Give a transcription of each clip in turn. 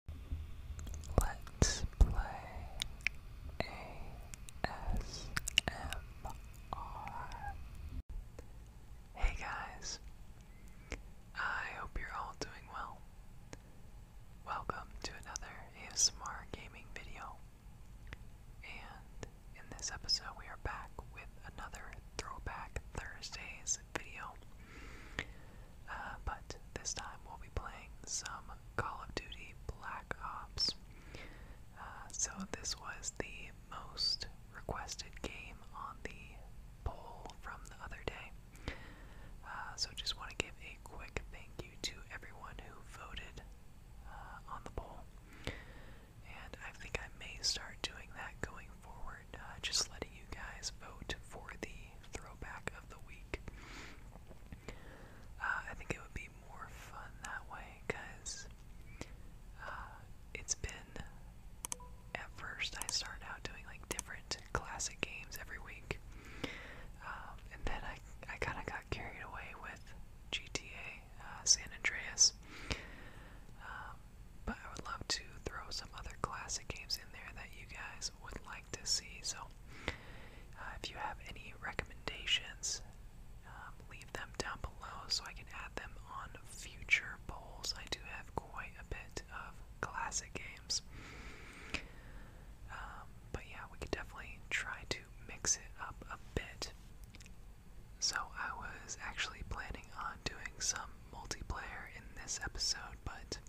Hey guys, I hope you're all doing well. Welcome to another ASMR gaming video. And in this episode, we are back with another Throwback Thursdays video. Uh, but this time we'll be playing some Call of Duty Black Ops. Uh, so this was the most requested game on the poll from the other day. Uh, so just want to give a quick thank you to everyone who voted on the poll. And I think I may start doing that going forward, just letting you guys vote for the throw throwback of the week. Uh, I think it would be more fun that way because uh, it's been. At first, I started out doing like different classic games every week, um, and then I I kind of got carried away with GTA uh, San Andreas. Um, but I would love to throw some other classic games in there that you guys would like to see. So, uh, if you have any recommendations, um, leave them down below so I can add them on future polls. I do have quite a bit of classic games. Um, but yeah, we could definitely try to mix it up a bit. So, I was actually planning on doing some multiplayer in this episode, but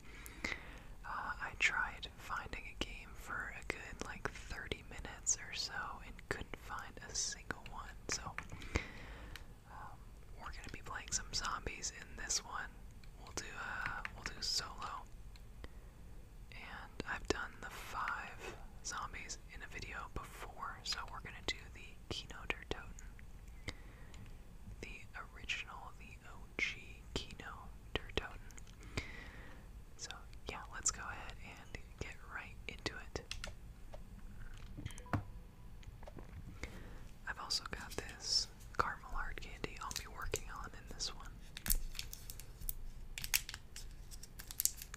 uh, I tried finding a game for a good like 30 minutes or so and couldn't find a single one. So um, we're gonna be playing some zombies in this one. We'll do uh, we'll do solo, and I've done the five zombies in a video before, so we're gonna do the Keynoter Totem, the original, the G-O-G Kino Durtoten. So yeah, let's go ahead and get right into it. I've also got this caramel hard candy I'll be working on in this one.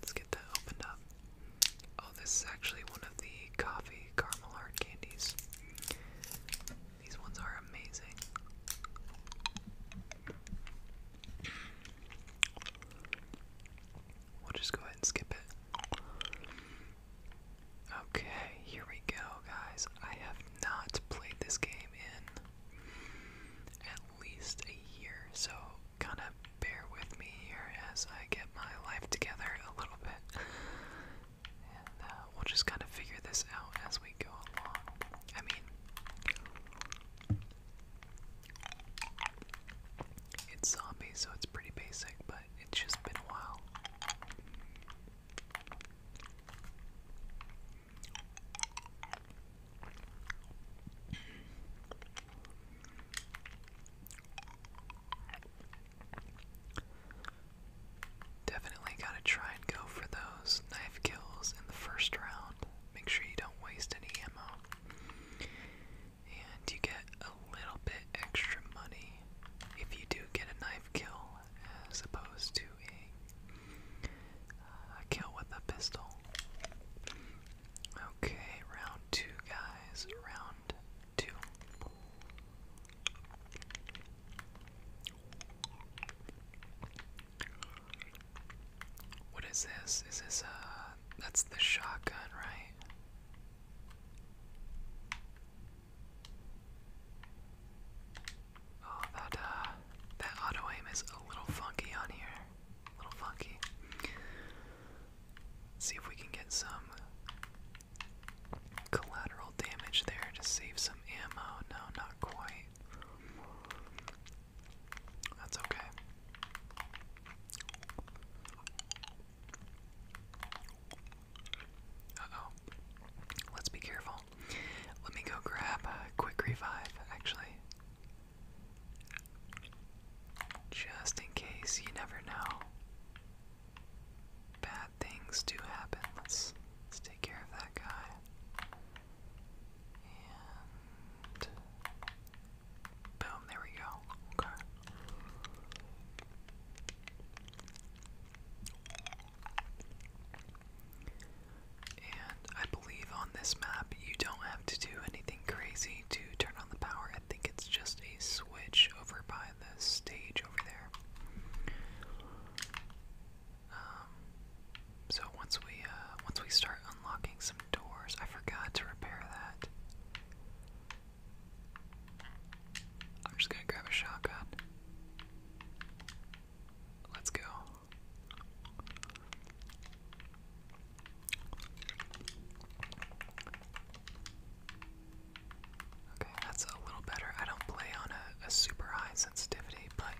Let's get that opened up. Oh, this is actually one of the coffee caramel hard candies. These ones are amazing. We'll just go ahead and skip it. Okay, here we go, guys. I have not played this game in at least a year, so kind of bear with me here as I get my life together a little bit. Uh, we'll just kind of figure this out as we go along. I mean, it's zombie, so it's pretty basic, but it's just been a while. Definitely gotta try and go for those knife kills in the first round. Make sure you don't waste any ammo. And you get a little bit extra money if you do get a knife kill as opposed to a uh, kill with a pistol. Okay, round two, guys. Round two. What is this? Is this, uh, that's the shotgun, right? Oh, that, uh, that auto aim is a little funky on here. A little funky. see if we can get some collateral damage there to save some ammo. No, not quite. That's okay. Uh oh. Let's be careful. Let me go grab a quick revive, actually. Just in case, you never know bad things do happen. Let's let's take care of that guy. And boom, there we go. Okay. And I believe on this map you don't have to do anything crazy to turn on the power. I think it's just a switch over by the stage over there. Um, so once we uh, once we start unlocking some doors, I forgot to repair that. I'm just gonna grab a shotgun. Let's go. Okay, that's a little better. I don't play on a, super high sensitivity, but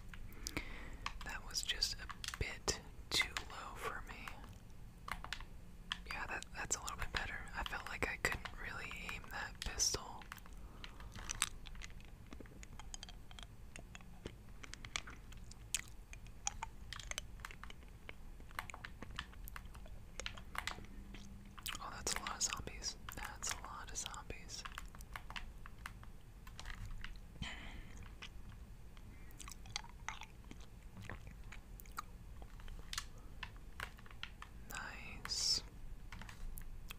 that was just a bit too low for me. Yeah, that that's a little bit better. I felt like I couldn't really aim that pistol. Oh, that's a lot of zombies. That's a lot of zombies. Nice.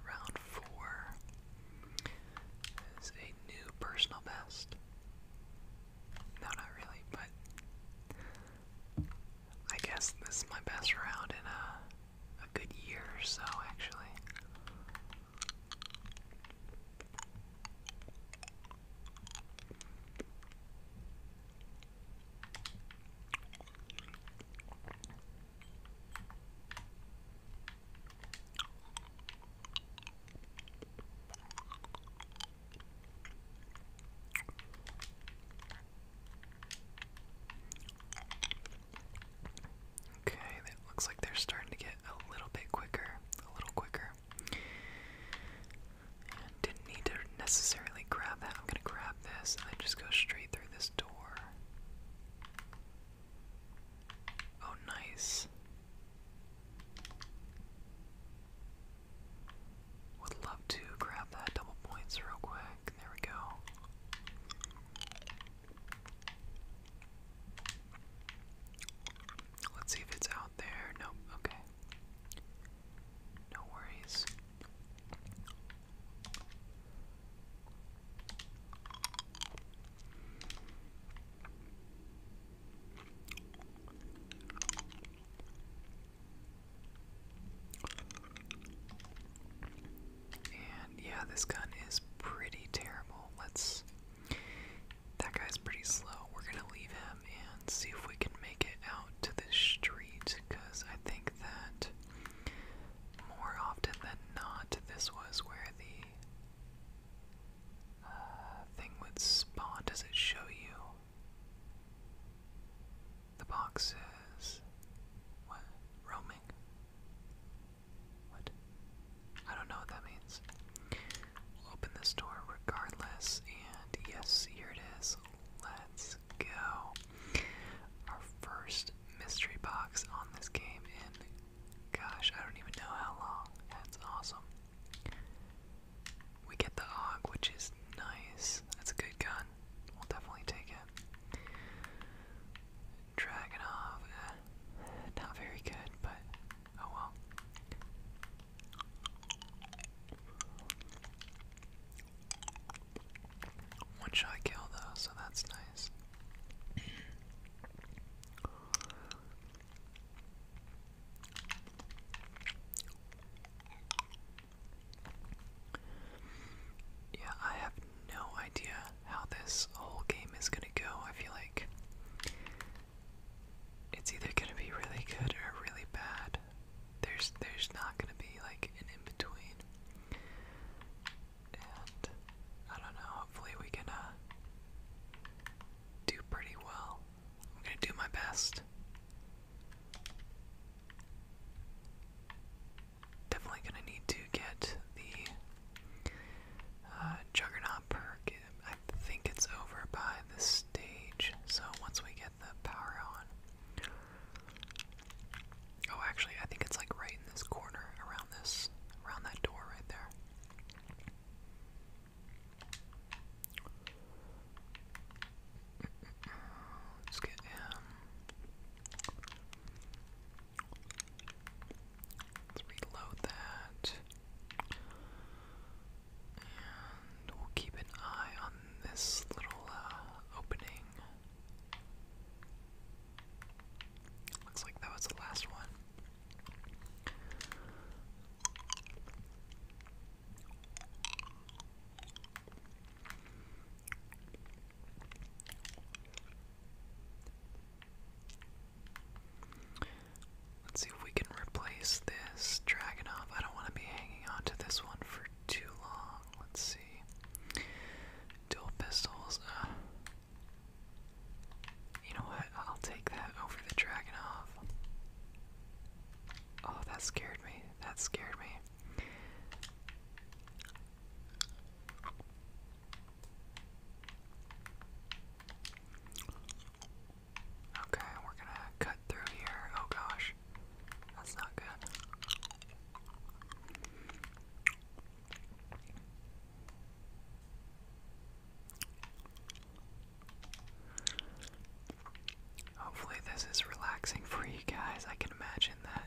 Round four is a new personal best. No, not really, but I guess this is my best round in uh a good year or so, actually. Okay, that looks like they're starting to get a little bit quicker, a little quicker. didn't need to necessarily grab that. I'm gonna grab this and just go straight through this door. Oh, nice. Would love to grab that double points real quick. There we go. Let's see if it's out there. Nope, okay. No worries. And yeah, this gun is pretty terrible. Let's. That guy's pretty slow. We're gonna leave him and see if we can make it out to the street, because I think that more often than not, this was where the uh, thing would spawn. Does it show you? The box says what? Roaming? What? I don't know what that means. open this door regardless, and yes, here it is. Let's go. Our first mystery box on this game in gosh, I don't even know how long. That's awesome. We get the hog, which is nice. That's a good gun on. We'll definitely take it. Dragonov, eh, not very good, but oh well. One shot kill though, so that's nice. Yeah, I have no idea how this whole game is gonna go. I feel like it's either gonna be really good or really bad. There's there's not gonna be like an in between. And I don't know, hopefully we can uh, do pretty well. I'm gonna do my best definitely gonna need to get the uh, Juggernaut perk. I think it's over by this stage, so once we get the power on. Oh, actually, I think it's like right in this corner, around this, around that door right there. Let's get him. Let's reload that. And we'll keep an eye on this little uh, opening. Looks like that was the last one. Let's see if we can replace this Dragonov. I don't want to be hanging on to this one for too long. Let's see. Dual pistols. Uh, you know what? I'll take that over the Dragonov. Oh, that scared me. That scared me. Okay, we're gonna cut through here. Oh gosh, that's not good. Hopefully, this is relaxing for you guys. I can imagine that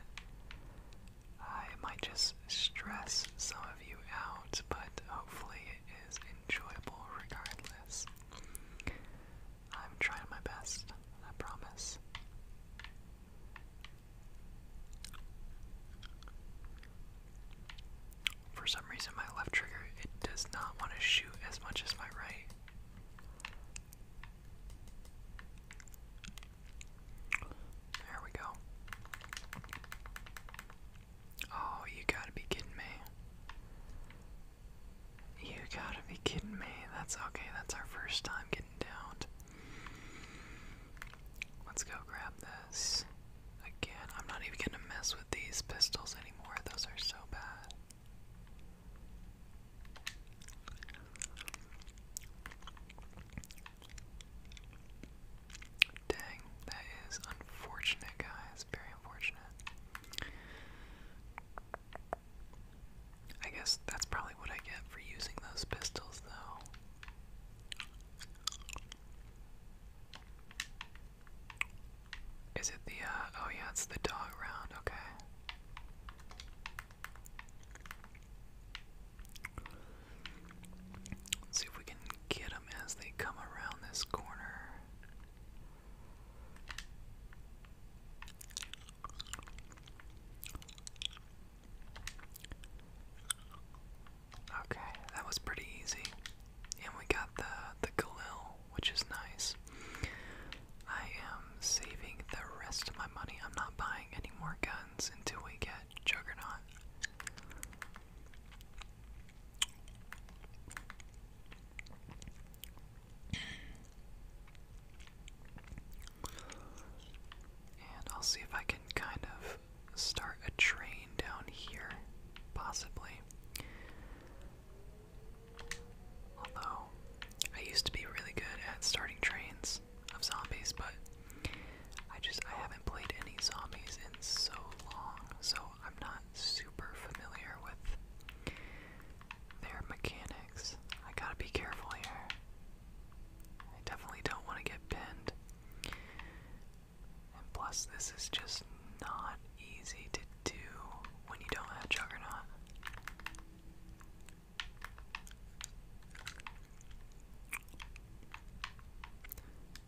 I might just stress some of you out, but hopefully it is enjoyable regardless. I'm trying my best, I promise. For some reason, my left trigger, it does not want to shoot as much as my right. There we go. Oh, you gotta be kidding me. You gotta be kidding me. That's okay, that's our first time getting down. Let's go grab this. Again, I'm not even gonna mess with these pistols anymore. Those are so bad. Dang, that is unfortunate, guys. Very unfortunate. I guess that's probably what I get for using those pistols, though. Is it the, uh, oh yeah, it's the dog round, okay. Let's see if we can get them as they come around this corner. Okay, that was pretty easy. And we got the the Galil, which is nice. I am saving the rest of my money. I'm not buying any more guns until we get Juggernaut. And I'll see if I can kind of start a train down here, possibly. Although, I used to be really good at starting trains of zombies, but I just I haven't played any zombies in so long, so I'm not super familiar with their mechanics. I gotta be careful here. I definitely don't want to get pinned. And plus, this is just not easy to do when you don't have Juggernaut.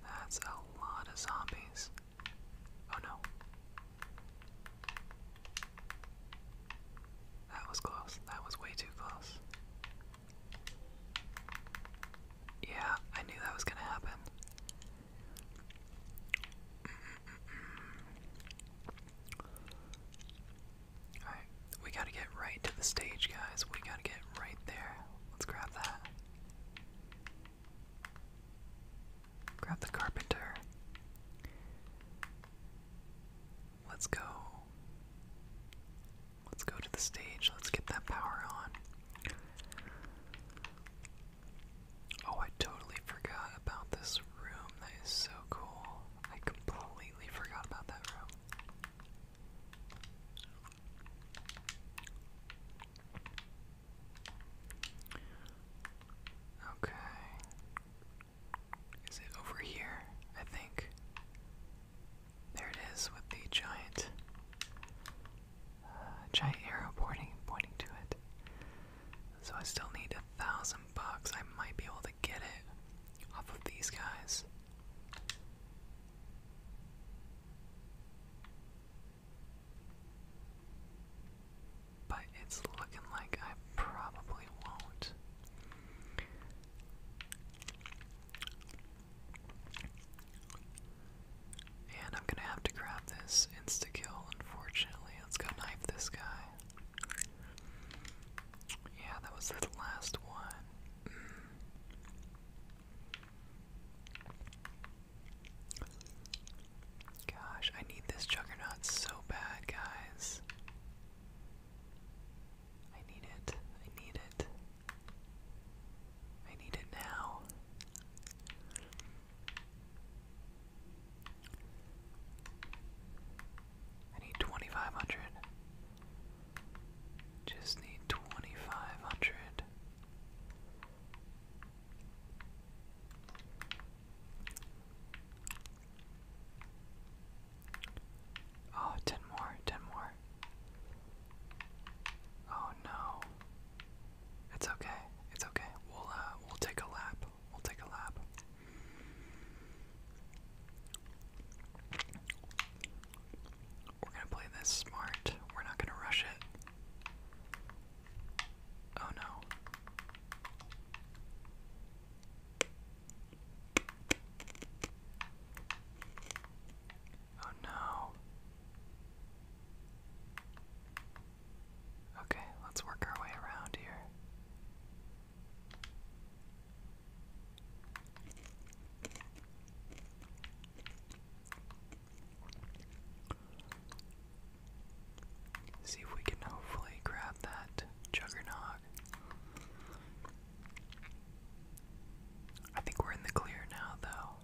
That's a lot of zombies. Oh no. That was close. That was way too close. Yeah, I knew that was gonna happen. Alright, we gotta get right to the stage, guys. We gotta get right there. Let's grab that. Grab the carpenter. Let's go. Let's go to the stage. Let's get that power on. Oh, I totally forgot about this room. That is so cool. I completely forgot about that room. Okay. Is it over here? I think. There it is with the giant uh, giant arrow pointing pointing to it. So I still need a thousand some bucks, I might be able to get it off of these guys. But it's looking like I probably won't. And I'm gonna have to grab this insta unfortunately. Let's go knife this guy. Yeah, that was the last one. Gosh, I need this juggernaut so bad, guys. I need it. I need it. I need it now need 2,500. Just need 2,500. Oh, more, 10 more. Oh no. It's okay. It's okay. We'll uh, we'll take a lap. We'll take a lap. We're gonna play this smart. We're not gonna rush it. Oh no. Oh no. Okay, let's work our way around here. See if we can hopefully grab that juggernaut. I think we're in the clear now, though.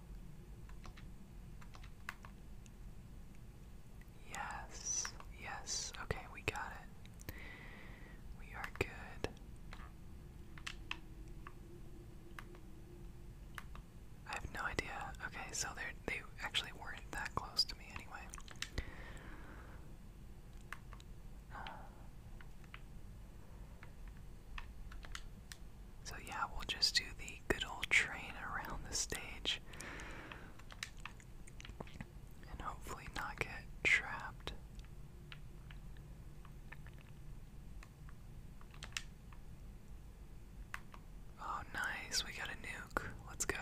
Yes, yes, okay, we got it. We are good. I have no idea. Okay, so they they actually weren't that close to me anyway. so yeah, we'll just do the good old train around the stage and hopefully not get trapped. Oh, nice, we got a nuke. Let's go.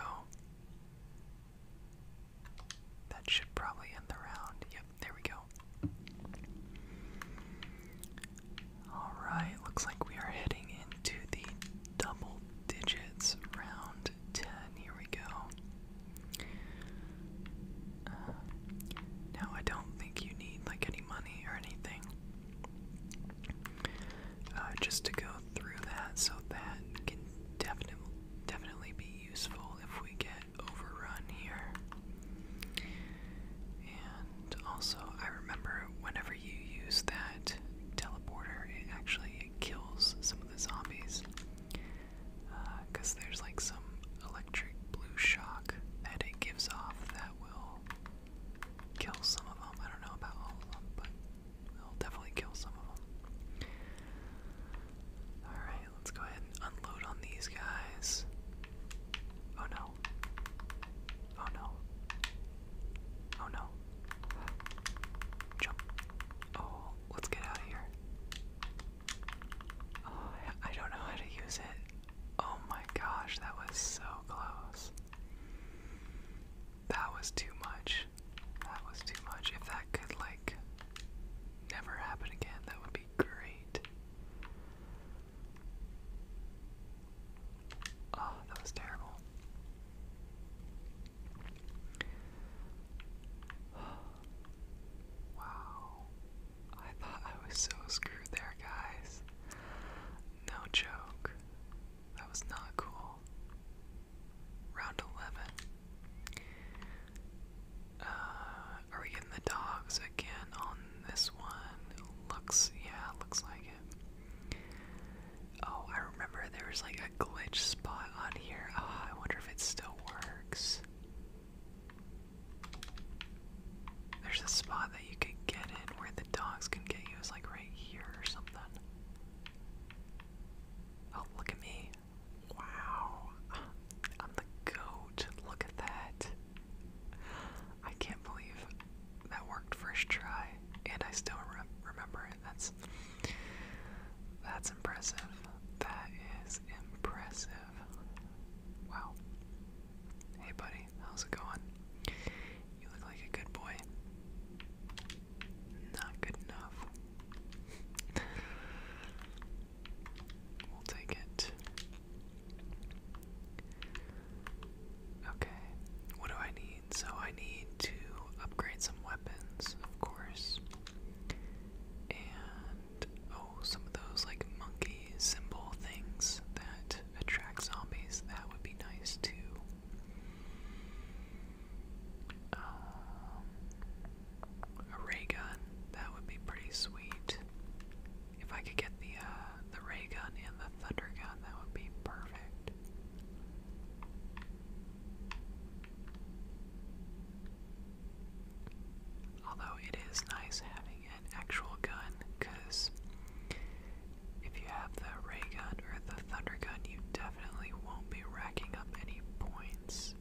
That should probably end the round. Yep, there we go. Alright, looks like we are heading into the double digits round. 10. Here we go. Uh, now, I don't think you need like any money or anything uh, just to go through that, so that can definitely definitely be useful if we get overrun here. And also, I remember whenever you use that teleporter, it actually kills some of the zombies because uh, there's like some electric blue shock that it gives off that will kill some of them. I don't know about all of them, but it'll definitely kill some of them. Alright, let's go ahead and unload on these guys. Oh no. Oh no. Oh no. Jump. Oh let's get out of here. Oh, I don't know how to use it. Oh my gosh, that was so close. That was too much. That was too much. If that could, like, never happen again, that would be great. Oh, that was terrible wow. I thought I was so screwed there, guys. No joke. That was not cool. Round 11. Uh, are we getting the dogs again on this one? Looks, yeah, looks like it. Oh, I remember there was like a glitch spot on here. Oh, I wonder it still works. There's a spot that you could get in where the dogs can get you. It's like right here or something. Oh, look at me. Wow. I'm the goat. Look at that. I can't believe that worked first try, and I still remember it. That's that's impressive. That is impressive. Wow. Hey buddy, how's it going? You look like a good boy. Not good enough. we'll take it. Okay, what do I need? So I need to upgrade some weapons, of course. And oh, some of those like monkey symbol things that attract zombies, that would be nice too. Um, a ray gun, that would be pretty sweet. If I could get the uh, the ray gun and the thunder gun, that would be perfect. Although it is nice having an actual gun, because if you have the ray gun or the thunder gun, you definitely won't be racking up any points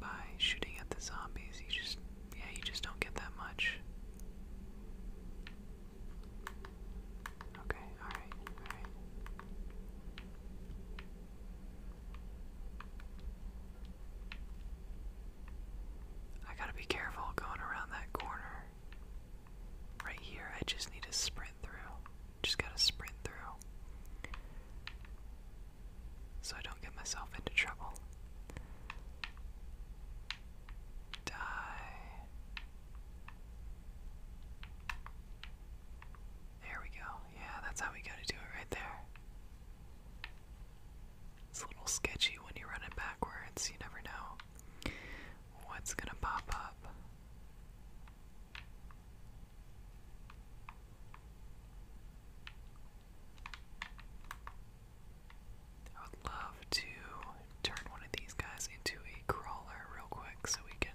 by shooting at the zombies. You just, yeah, you just don't get that much. Okay, alright, alright. I gotta be careful going around that corner. Right here, I just need to sprint through. Just gotta sprint through. So I don't get myself into trouble. Die. There we go. Yeah, that's how we gotta do it right there. It's a little sketchy when you run it backwards, you never know what's gonna pop up. I would love to turn one of these guys into a crawler real quick so we can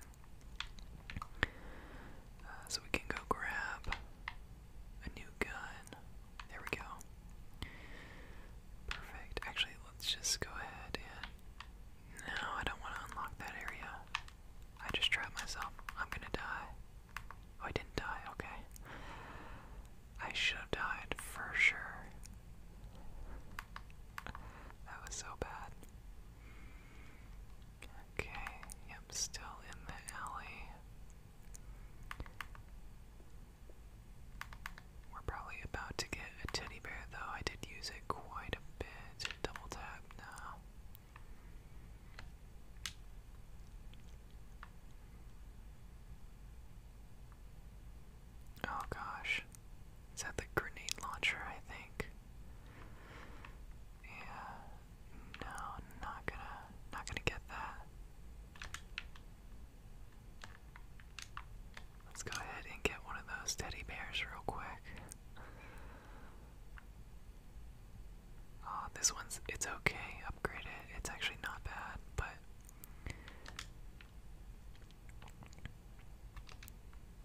uh, so we can go grab a new gun. There we go. Perfect. Actually, let's just go ahead and. No, I don't want to unlock that area. I just trapped myself. I'm gonna die. Oh, I didn't die. Okay. I should have died for sure. That was so bad. Okay, yep, still in the alley. We're probably about to get a teddy bear, though. I did use it quite a bit. Double tap now. Oh gosh. Is that the grenade launcher, I think? Yeah. No, not gonna not gonna get that. Let's go ahead and get one of those teddy bears real quick. Oh, this one's it's okay. Upgrade it. It's actually not bad, but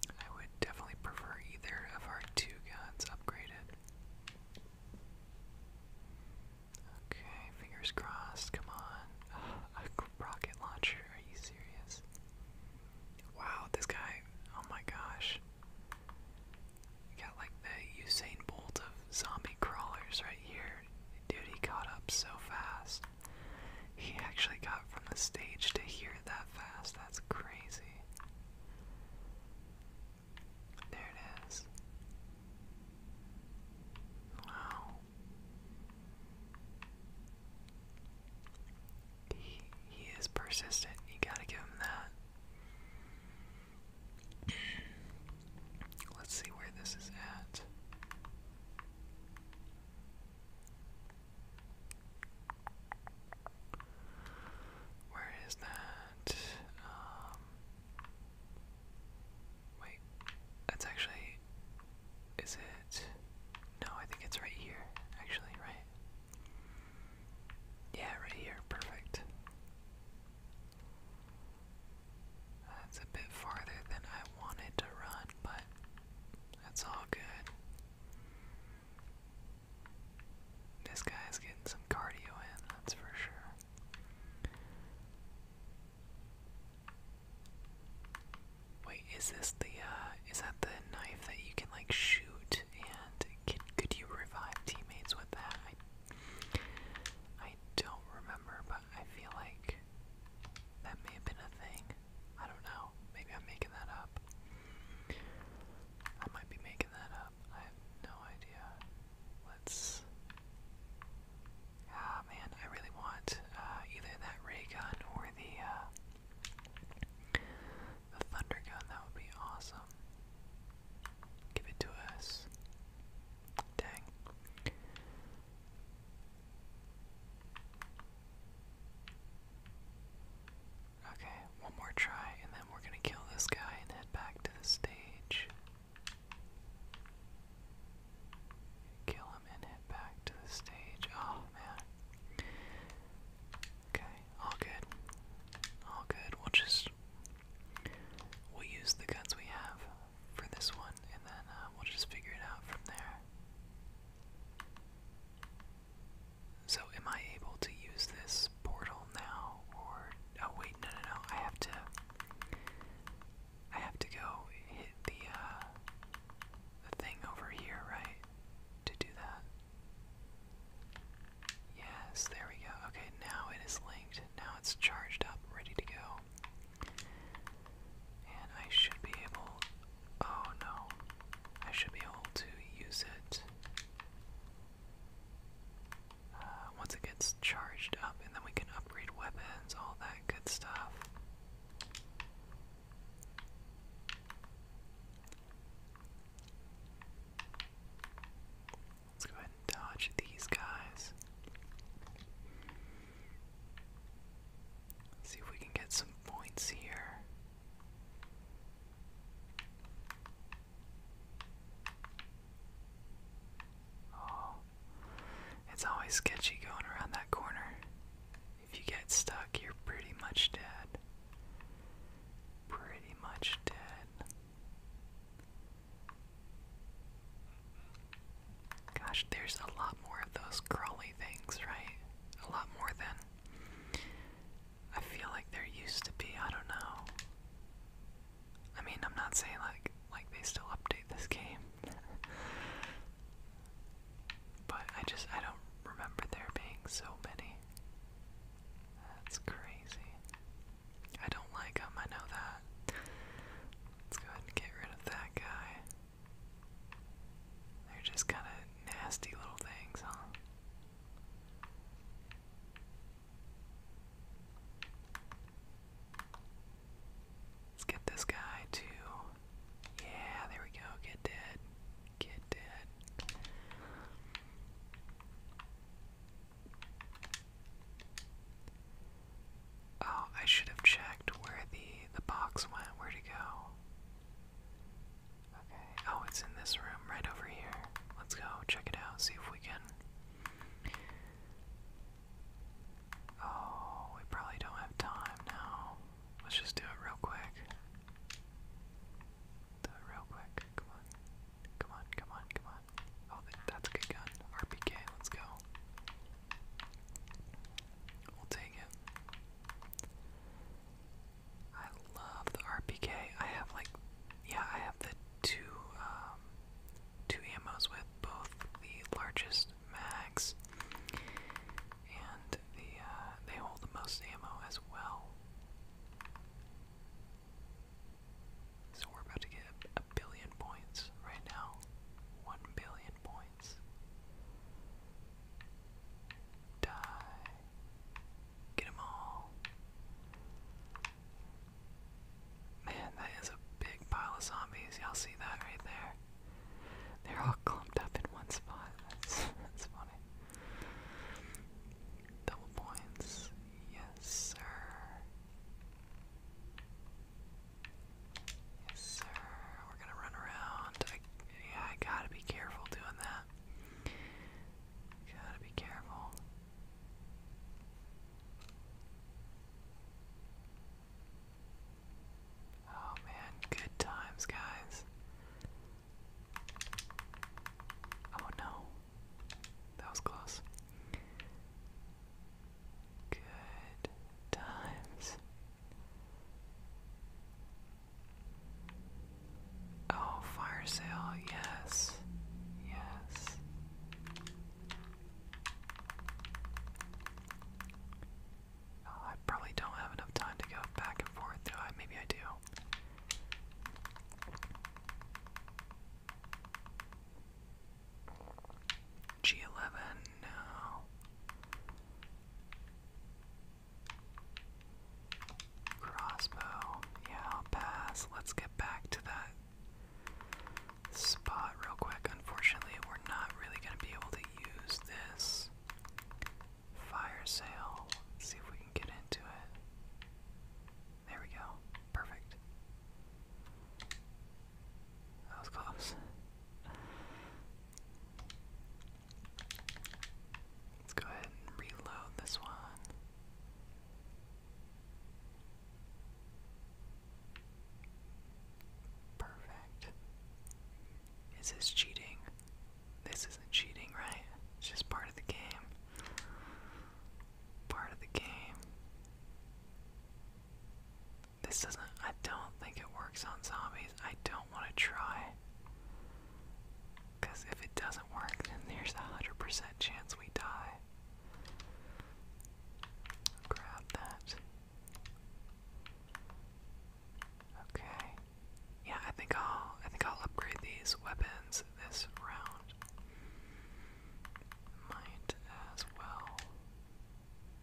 I would definitely prefer either of our two guns upgraded. Okay, fingers crossed, come on. a rocket launcher, are you serious? Wow, this guy, oh my gosh. You got like the Usain Bolt of zombie crawlers right here. Dude, he caught up so fast. He actually got from the stage to here that fast. That's crazy. There it is. Wow. He, he is persistent. You gotta give him that. Let's see where this is at. Where is that? Um, wait, that's actually. Is it? No, I think it's right here, actually, right? Yeah, right here, perfect. That's a bit farther than I wanted to run, but that's all good. This guy is getting some cardio in, that's for sure. Wait, is this the uh is that the knife that you can like shoot and can, could you revive teammates with that? I don't remember, but I feel like that may have been a thing. I don't know. Maybe I'm making that up. I might be making that up. I have no idea. Let's. Ah, man, I really want uh, either that ray gun or the uh, the thunder gun. That would be awesome. Give it to us. Dang. Okay, one more try, and then we're gonna kill this guy and head back to the stage. Kill him and head back to the stage. Oh man. Okay, all good. All good. We'll just we'll use the guns we have for this one, and then uh, we'll just figure it out from there. So am I able to use this portal now or oh wait no no no I have to I have to go hit the uh the thing over here, right? To do that. Yes, there we go. Okay, now it is linked. Now it's charged up, ready to go. And I should be able. Oh no. I should be able to use it uh, once it gets charged up, and then we can upgrade weapons, all that good stuff. Let's go ahead and dodge these guys. see if we can get some points here. Oh, it's always sketchy going around that corner. If you get stuck, you're pretty much dead. Pretty much dead. Gosh, there's a lot more of those crawly things, right? A lot more than I feel like there used to be, I don't know. I mean, I'm not saying like like they still update this game. but I just I don't remember there being so many. That's crazy. I don't like him, I know that. Let's go ahead and get rid of that guy. They're just kind of nasty little things, huh? Let's get this guy to. Yeah, there we go. Get dead. Get dead. Oh, I should have checked where the the box went. Where'd go? Okay. Oh, it's in this room right over here. Let's go check it out, see if we can. Oh, we probably don't have time now. Let's just do it real quick. Do it real quick. Come on. Come on, come on, come on. Oh, that's a good gun. RPK, let's go. We'll take it. I love the RPK. I have like, yeah, I have the two, um, two ammos with both the largest mags and the, uh, they hold the most ammo as well. So we're about to get a billion points right now. One billion points. Die. Get them all. Man, that is a big pile of zombies. Y'all see that right there? They're all clumped up in one spot. That's, that's funny. Double points. Yes, sir. Yes, sir. We're gonna run around. yeah, I gotta be careful doing that. Gotta be careful. Oh man, good times, guys. Oh no. That was close. Good times. Oh, fire sale, yes. Yes. Oh, I probably don't have enough time to go back and forth, do Maybe I do. G11, no. Crossbow. Yeah, I'll pass. Let's get back to that spot real quick. Unfortunately, we're not really going to be able to use this fire sale. Let's see if we can get into it. There we go. Perfect. That was close. Let's go ahead and reload this one. Perfect. Is this cheating? This isn't cheating, right? It's just part of the game. Part of the game. This doesn't. I don't think it works on zombies. I don't want to try. Because if it doesn't work, then there's a 100% chance we die. Grab that. Okay. Yeah, I think I'll I think I'll upgrade these weapons this round. Might as well.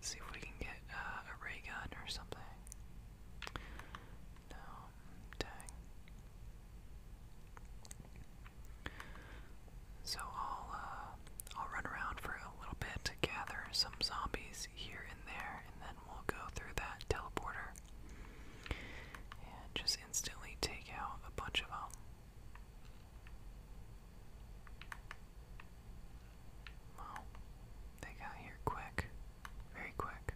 See if we can get uh, a ray gun or something. No, dang. So I'll uh, I'll run around for a little bit gather some zombies here and there, and then we'll go through that teleporter and just instantly take out a bunch of them. Well, they got here quick very quick.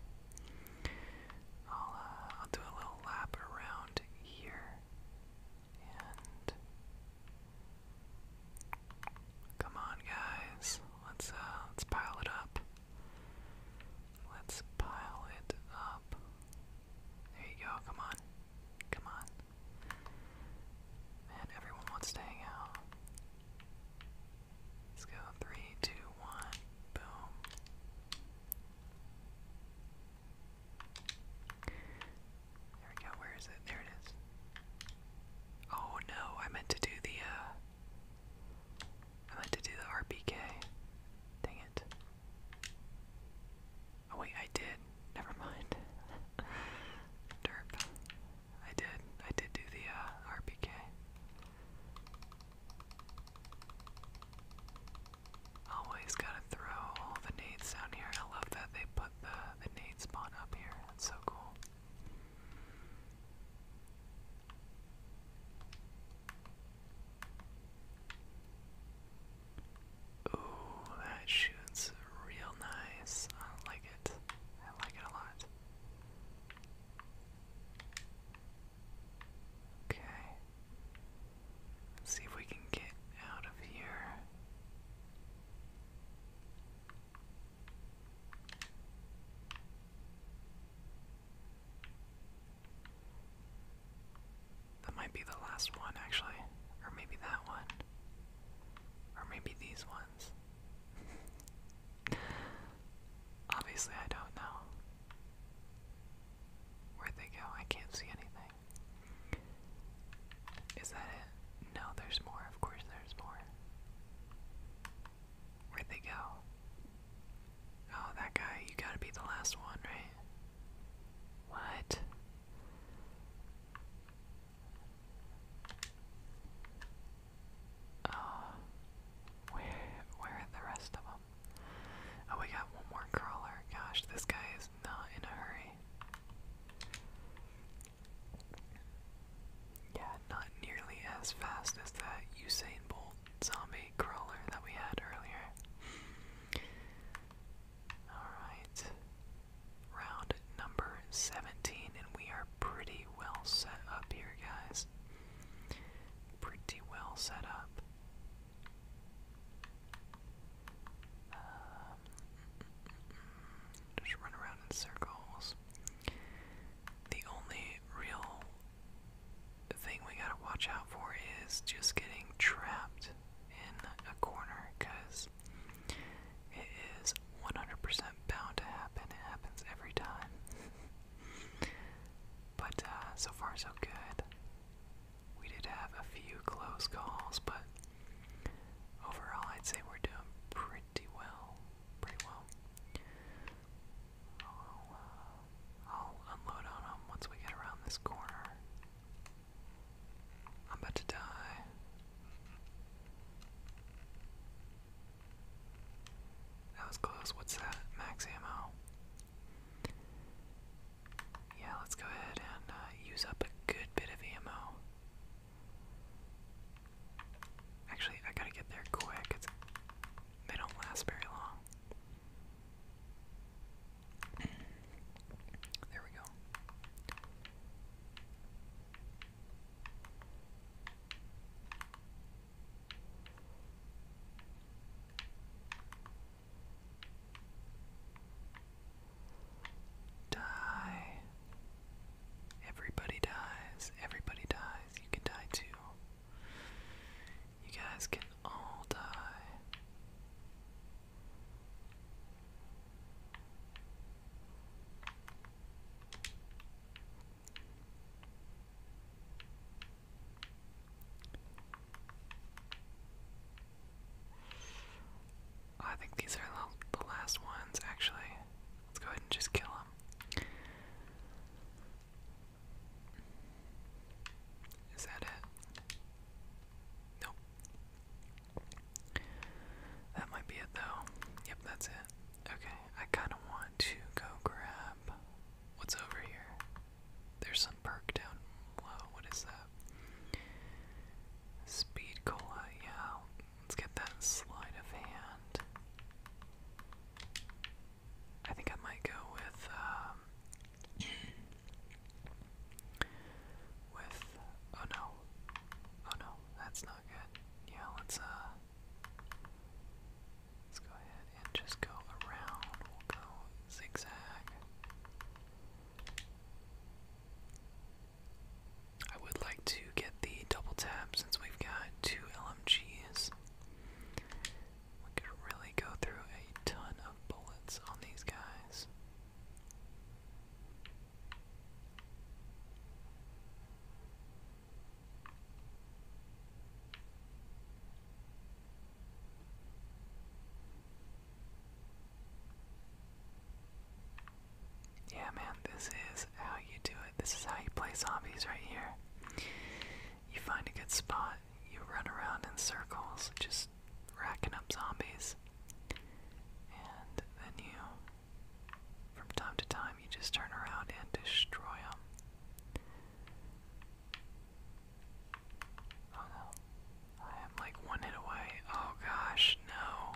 I'll uh, I'll do a little lap around here and come on guys, let's uh let's pile it up. Let's pile it up. There you go, come on. Come on. Man, everyone wants to hang out. Let's go three, two, one, boom. There we go, where is it? There it is. Oh no, I meant to do the uh, I meant to do the RPK. Dang it. Oh wait, I did. Never mind. Derp. I did. I did do the uh, RPK. Always gotta throw all the nades down here. I love that they put the, the nade spawn up here. That's so cool. Ooh, that shoots real nice. I like it. I like it a lot. Okay. see if we can get out of here. That might be the last one, actually. Or maybe that one. Or maybe these ones. Obviously, I don't know. where they go? I can't see anything. Is that it? No, there's more. Of course, there's more. Where'd they go? Oh, that guy, you gotta be the last one, right? What? Oh, where, where are the rest of them? Oh, we got one more crawler. Gosh, this guy is not in a hurry. Yeah, not nearly as fast as that Usain Bolt zombie crawler that we had earlier. Alright. Round number 17, and we are pretty pretty well set up here, guys. Pretty well set up. Um, just run around in circles. The only real thing we gotta watch out for is just getting trapped in a corner because it is 100% bound to happen. It happens every time. but uh, so far, so good. We did have a few close calls, but overall, I'd say we're doing pretty well. Pretty well. I'll uh, unload on them once we get around this corner. I'm about to die. That was close. What's that? Max ammo. Yeah, let's go ahead and uh, use up a good bit of ammo. Actually, I gotta get there quick. It's, they don't last very long. there we go. Die. Everybody dies. Everybody dies. You can die too. You guys can all die. Oh, I think these are the last ones, actually. Let's go ahead and just kill them. Is that it? Nope. That might be it, though. Yep, that's it. Okay, I kind of want to go grab what's over here. There's some perk down low. What is that? Speed cola, yeah. Let's get that sleight of hand. I think I might go with um with oh no. Oh no, that's not good. Yeah, let's uh Let's go ahead and just go around. We'll go zigzag. I would like to get the double tap since we've got two LMGs. We could really go through a ton of bullets on these guys. Yeah, man, this is how you do it. This is how you play zombies right here. You find a good spot, you run around in circles, just racking up zombies, and then you from time to time, you just turn around and destroy them. Oh no. I am like one hit away. Oh gosh, no.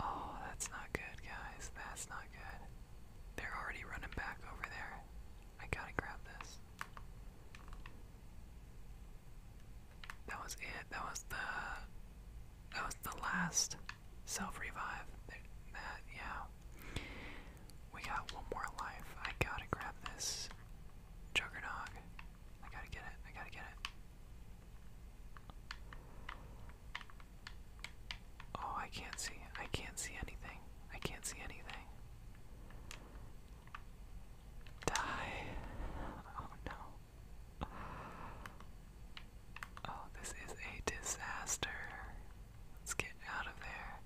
Oh, that's not good, guys. That's not good. They're already running back over there. I gotta grab this. That was it. That was the that was the last self revive. That, yeah. We got one more life. I gotta grab this juggernog. I gotta get it. I gotta get it. Oh, I can't see. I can't see anything. I can't see anything. Die. Oh no. Oh, this is a disaster. Let's get out of there.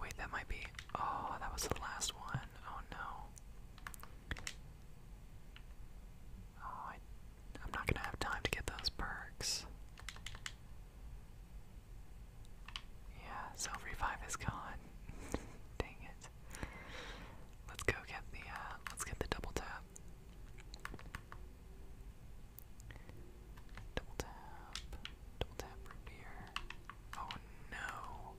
Wait, that might be. Oh, that was the last one. Oh no. Oh, I, am not gonna have time to get those perks. Yeah, self revive is gone. Dang it. Let's go get the uh, let's get the double tap. Double tap. Double tap root beer. Oh no.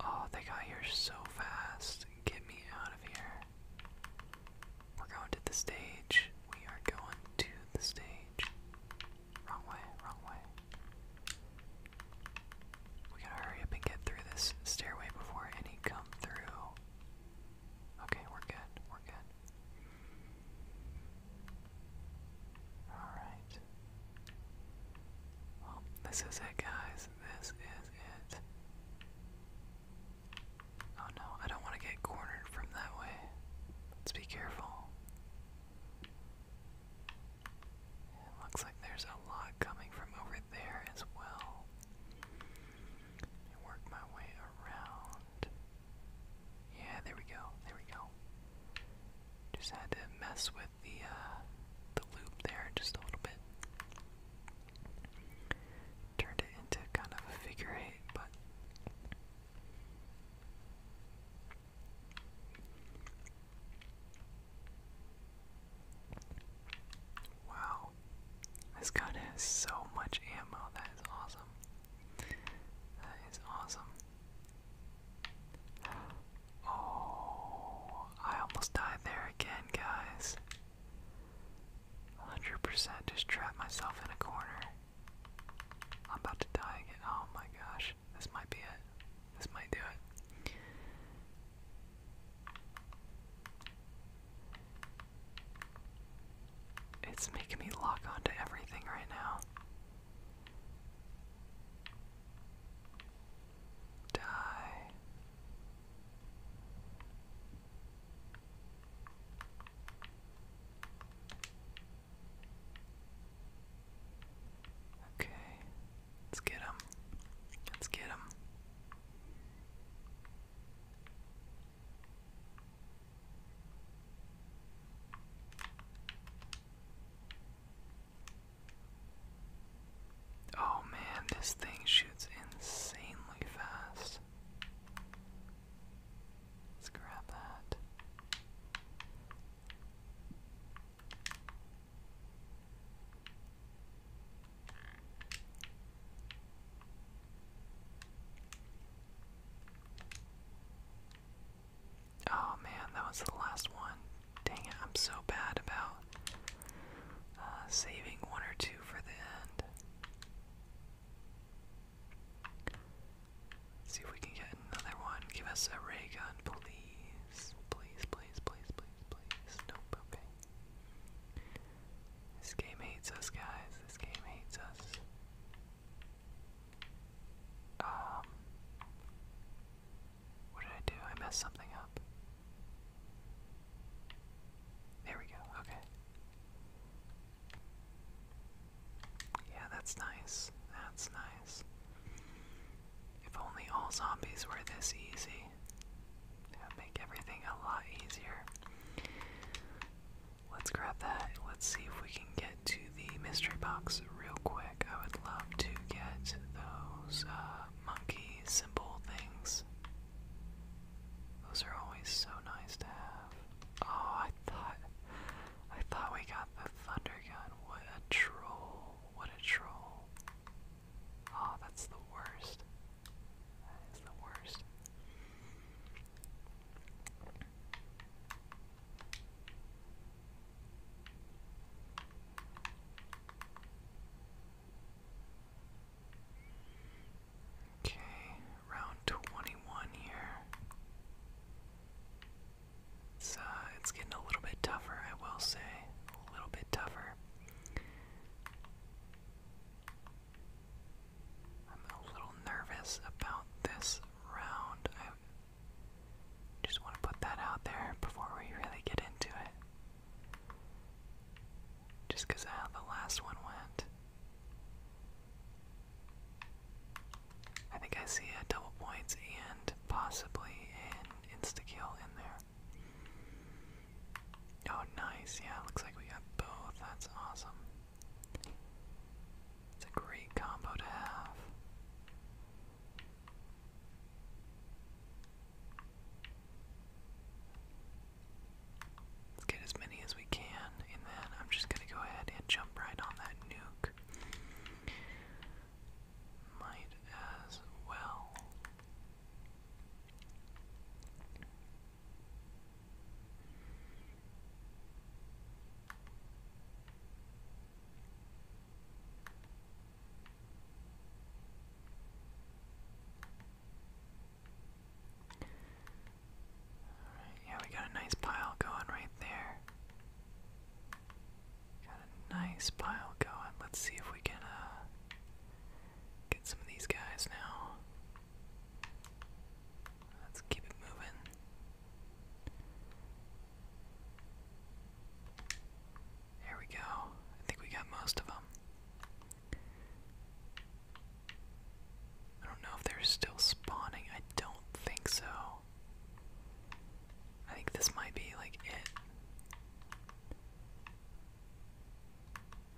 Oh, they got here so fast. Get me out of here. We're going to the stage. We are going to the stage. Wrong way, wrong way. We gotta hurry up and get through this stairway before any come through. Okay, we're good, we're good. Alright. this is it, guys. This is it. Oh no, I don't want to get cornered from that way. Let's be careful. It looks like there's a lot coming from over there as well. I my way around. Yeah, there we go. There we go. Just had to mess with the uh, the loop there just a little bit. Turned it into kind of a figure eight, but Wow. This gun has so much ammo. That is awesome. That is awesome. Oh, I almost died there again, guys. 100% just trapped myself in a corner. I'm about to die again. Oh my gosh. This might be it. This might do it. It's making me lock onto everything right now. Die. Okay. Let's get him. Let's get him. Oh man, this thing shoots insanely fast. Let's grab that. Oh man, that was the last one. Dang it, I'm so bad about uh, saving one or two for the end. see if we can get another one. Give us a ray gun, please please, please, please, please, please, please. okay. This game hates us, guys. This game hates us. Um. What did I do? I messed something up. There we go, okay. Yeah, that's nice. That's nice. If only all zombies were this easy. That would make everything a lot easier. Let's grab that. Let's see if we can get to the mystery box real quick. I would love to get those uh, monkey symbol things. Those are always so nice to have. Oh, I thought I thought we got the thunder gun. What a troll. What a troll. Oh, that's the worst. That is the worst. Okay, round 21 here. It's, uh, it's getting a little bit tougher, I will say. A little bit tougher. I'm a little nervous about this round. I just want to put that out there before we really get into it. Just because how the last one went. I think I see a double points and possibly an insta-kill in there. Oh, nice. Yeah, looks like we got both. That's awesome. It's a great combo to have. Let's get as many as we can, and then I'm just gonna go ahead and jump right on that nuke might as well. All right, yeah, we got a nice pile going right there. Got a nice pile going. Let's see if we can uh, get some of these guys now. Let's keep it moving. There we go. I think we got most of them. I don't know if they're still spawning. I don't think so. I think this might be like it.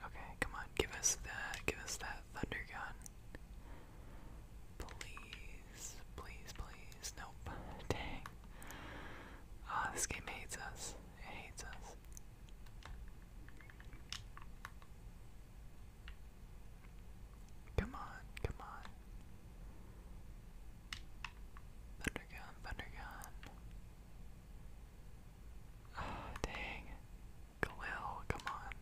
Okay, come on, give us that, give us that thunder gun. Please, please, please, nope, dang. Ah, this game hates us, it hates us. Come on, come on. Thundergun, Thundergun. Oh, dang. Galil, come on.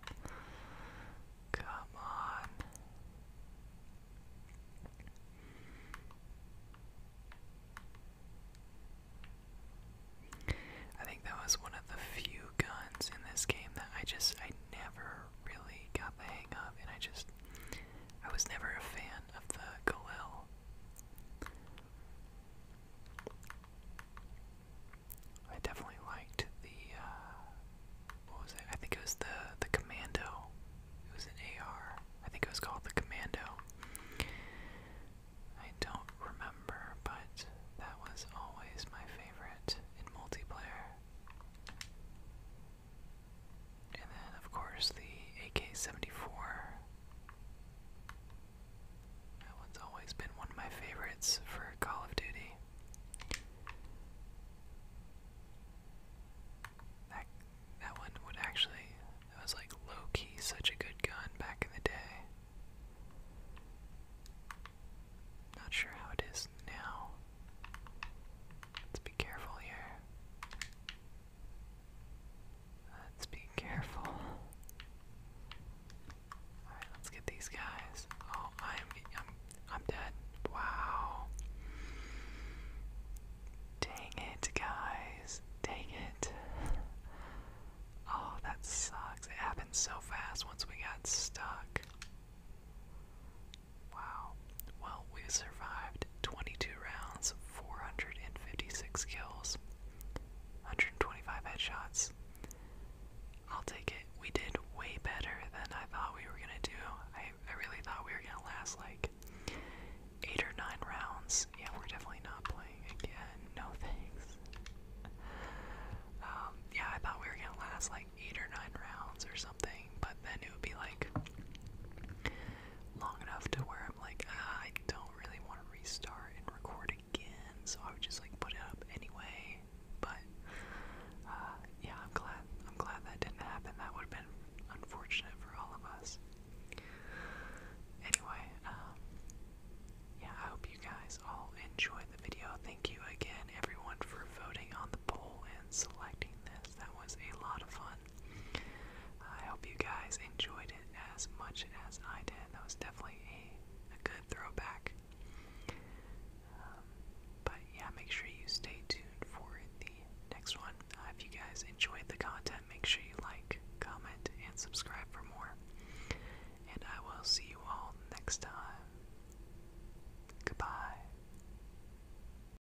Come on. I think that was one of the few guns in this game that I just I never really got the hang of and I just I was never a fan of the Galil. I definitely liked the uh, what was it? I think it was the the Commando. It was an AR. I think it was called the Commando. I don't remember, but that was always my favorite in multiplayer. And then, of course, the AK 74. That one's always been one of my favorites for Call of Duty. That, that one would actually, was like low key such a good gun back in the day. Not sure how it is now. Let's be careful here. Let's be careful. Alright, let's get these guys. Oh, I am I'm I'm dead. Wow. Dang it, guys. Dang it. Oh, that sucks. It happened so fast once we got stuck. Wow. Well, we survived 22 rounds, 456 kills, 125 headshots. I'll take it. We did way better than I thought we were gonna do. I, I really thought we were gonna last like eight or nine rounds. Yeah, we're definitely not playing again. No thanks. Um, yeah, I thought we were gonna last like eight or nine rounds or something but then it would be like long enough to where I'm like, ah, I don't really want to restart and record again, so I would just like put it up anyway. But uh, yeah, I'm glad. I'm glad that didn't happen. That would have been unfortunate for all of us. Anyway, um, yeah, I hope you guys all enjoyed the video. Thank you again, everyone, for voting on the poll and selecting this. That was a lot of fun. I hope you guys enjoyed it as much as I did. That was definitely a, good throwback. Um, but yeah, make sure you stay tuned for the next one. Uh, if you guys enjoyed the content, make sure you like, comment, and subscribe for more. And I will see you all next time. Goodbye.